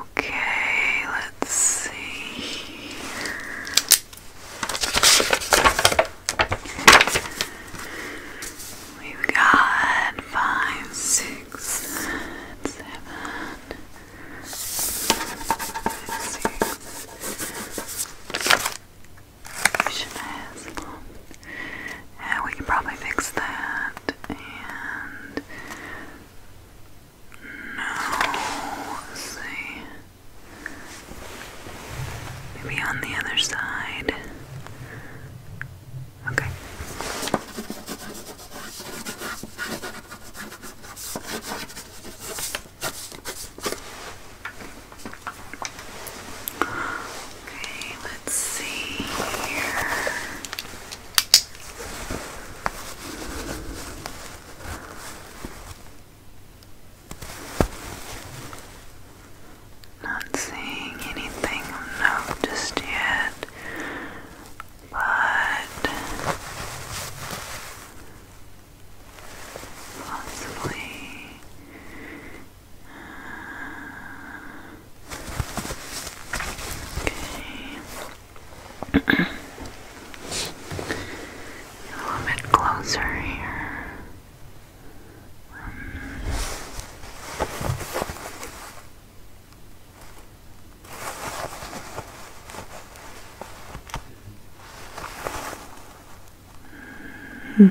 Okay, let's see We've got five, six, seven, six and we can probably fix that. And no, Maybe on the other side. Okay. Okay, see here. Not seeing anything of note just yet, but possibly Okay. A little bit closer here. Um. Mm -hmm.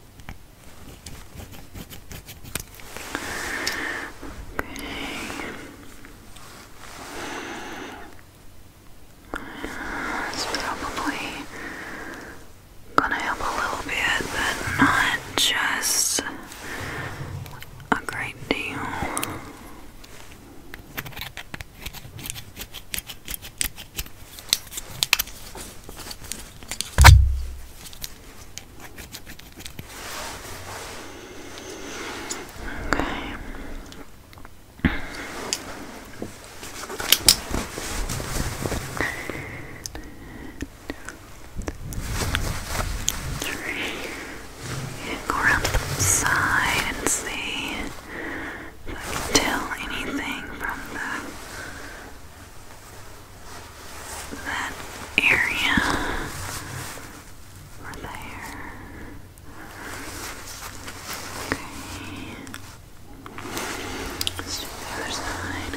It's probably gonna help a little bit, but not just a great deal. Three. Go around the side and see. I can tell anything from the that area or there. Okay. Let's do the other side.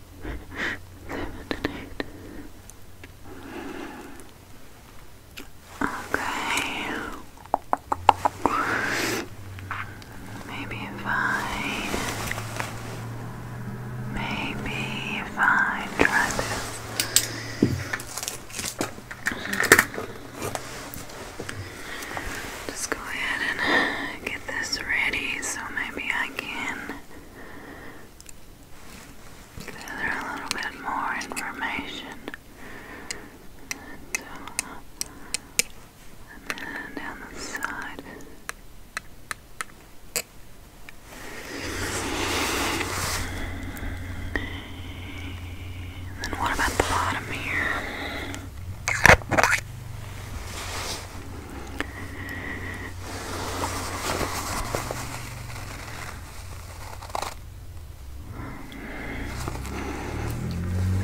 seven and eight. Okay. Maybe if I maybe if I try this. Just go ahead and get this ready so maybe I can gather a little bit more information. And, then down the side. And what about the bottom here?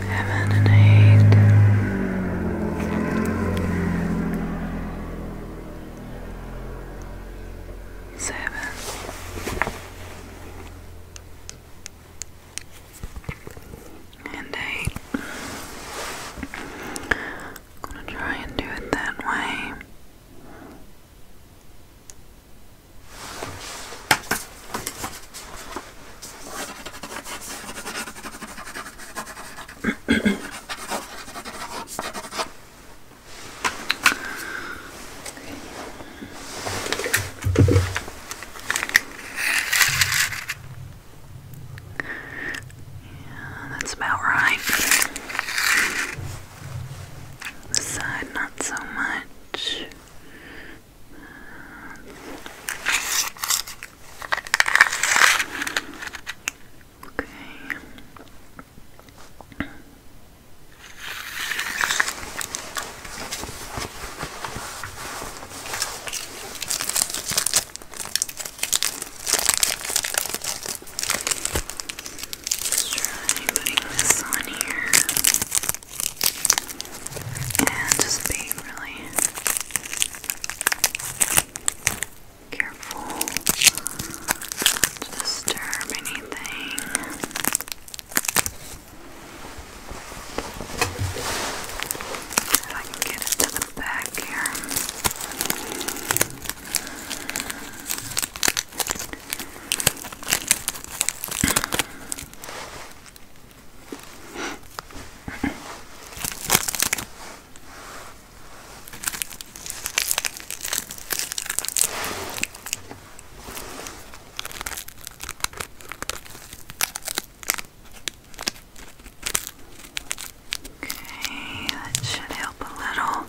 Heaven and eight, seven, and eight. I'm gonna try and do it that way. Yeah, that's about right. This side, not so much. Okay. Let's putting this on here and just being really careful to disturb anything. If I can get it the back here. Okay, that should help a little.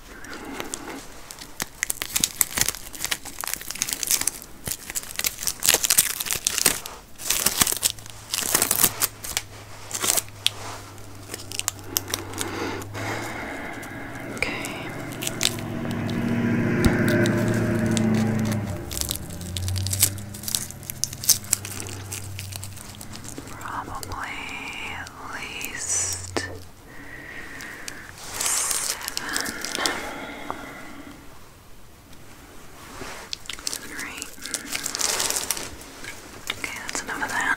Okay probably at least seven. Seven Okay, that's enough of that.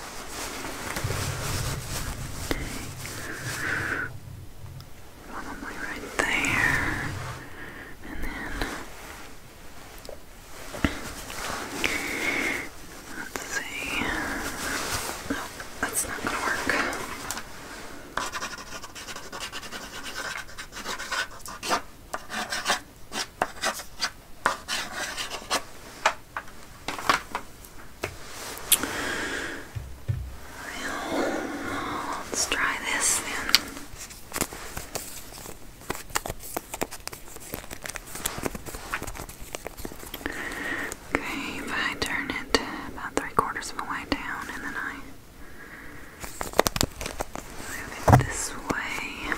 Okay. Probably right there. And then let's see. No, that's not gonna work let's try this then. Okay, if I turn it about three quarters of a way down and then I move it this way.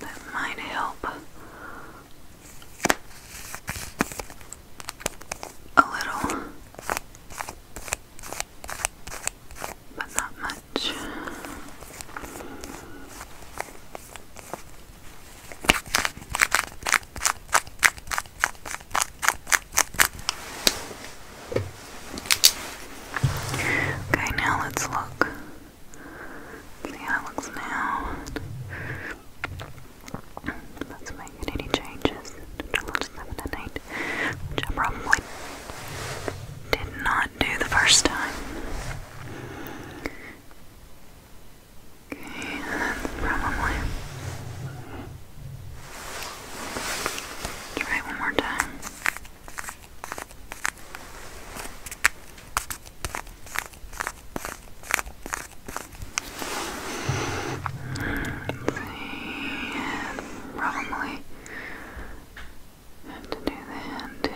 That might help a little, but not much. Okay, now let's look see how it looks now. Let's make any changes to look seven and eight, which I probably did not do the first time. Okay, that's probably. Try one more time. Probably have to do the hand.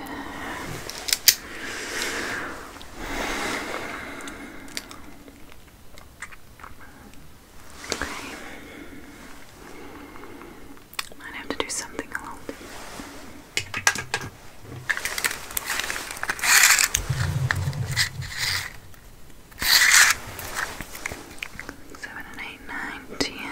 Might have to do something a Seven and eight, nine, ten. Okay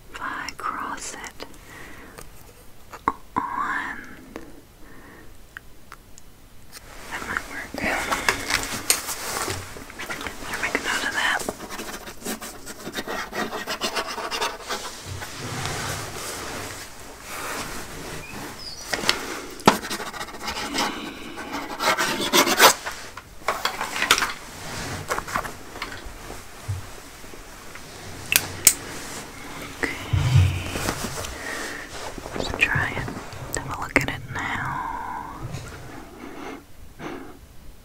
if I cross it on, that might work. Better make a note of that. Okay. let try it. Have a look at it now.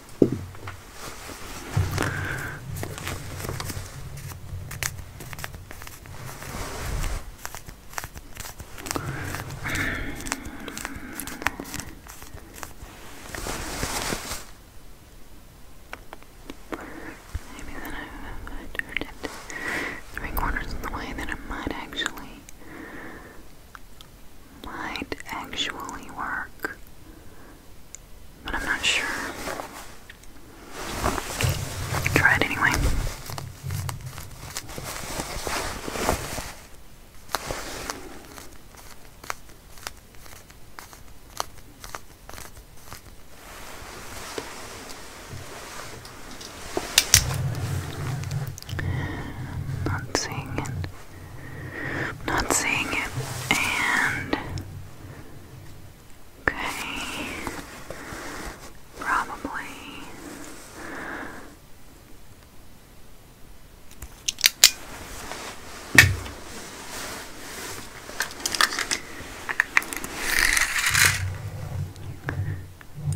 Maybe then I turned it three quarters of the way, then I might actually might actually work, but I'm not sure. Try it anyway. Not seeing it. I'm not seeing it. And okay, probably.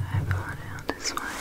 I've out this way.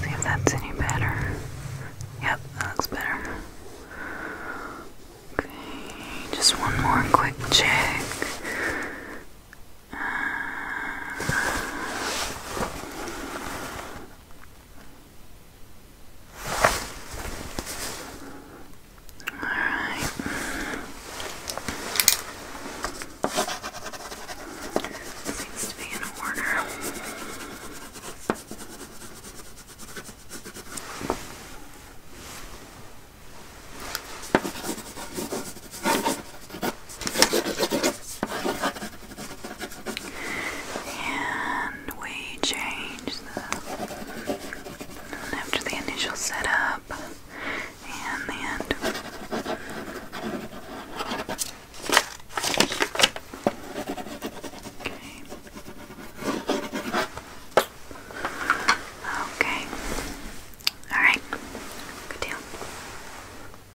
See if that's any better. Yep, that looks better. Okay, just one more quick check. Uh, all right. Seems to be in order. And we change the after the initial setup and the Okay. Okay. All right. Good deal.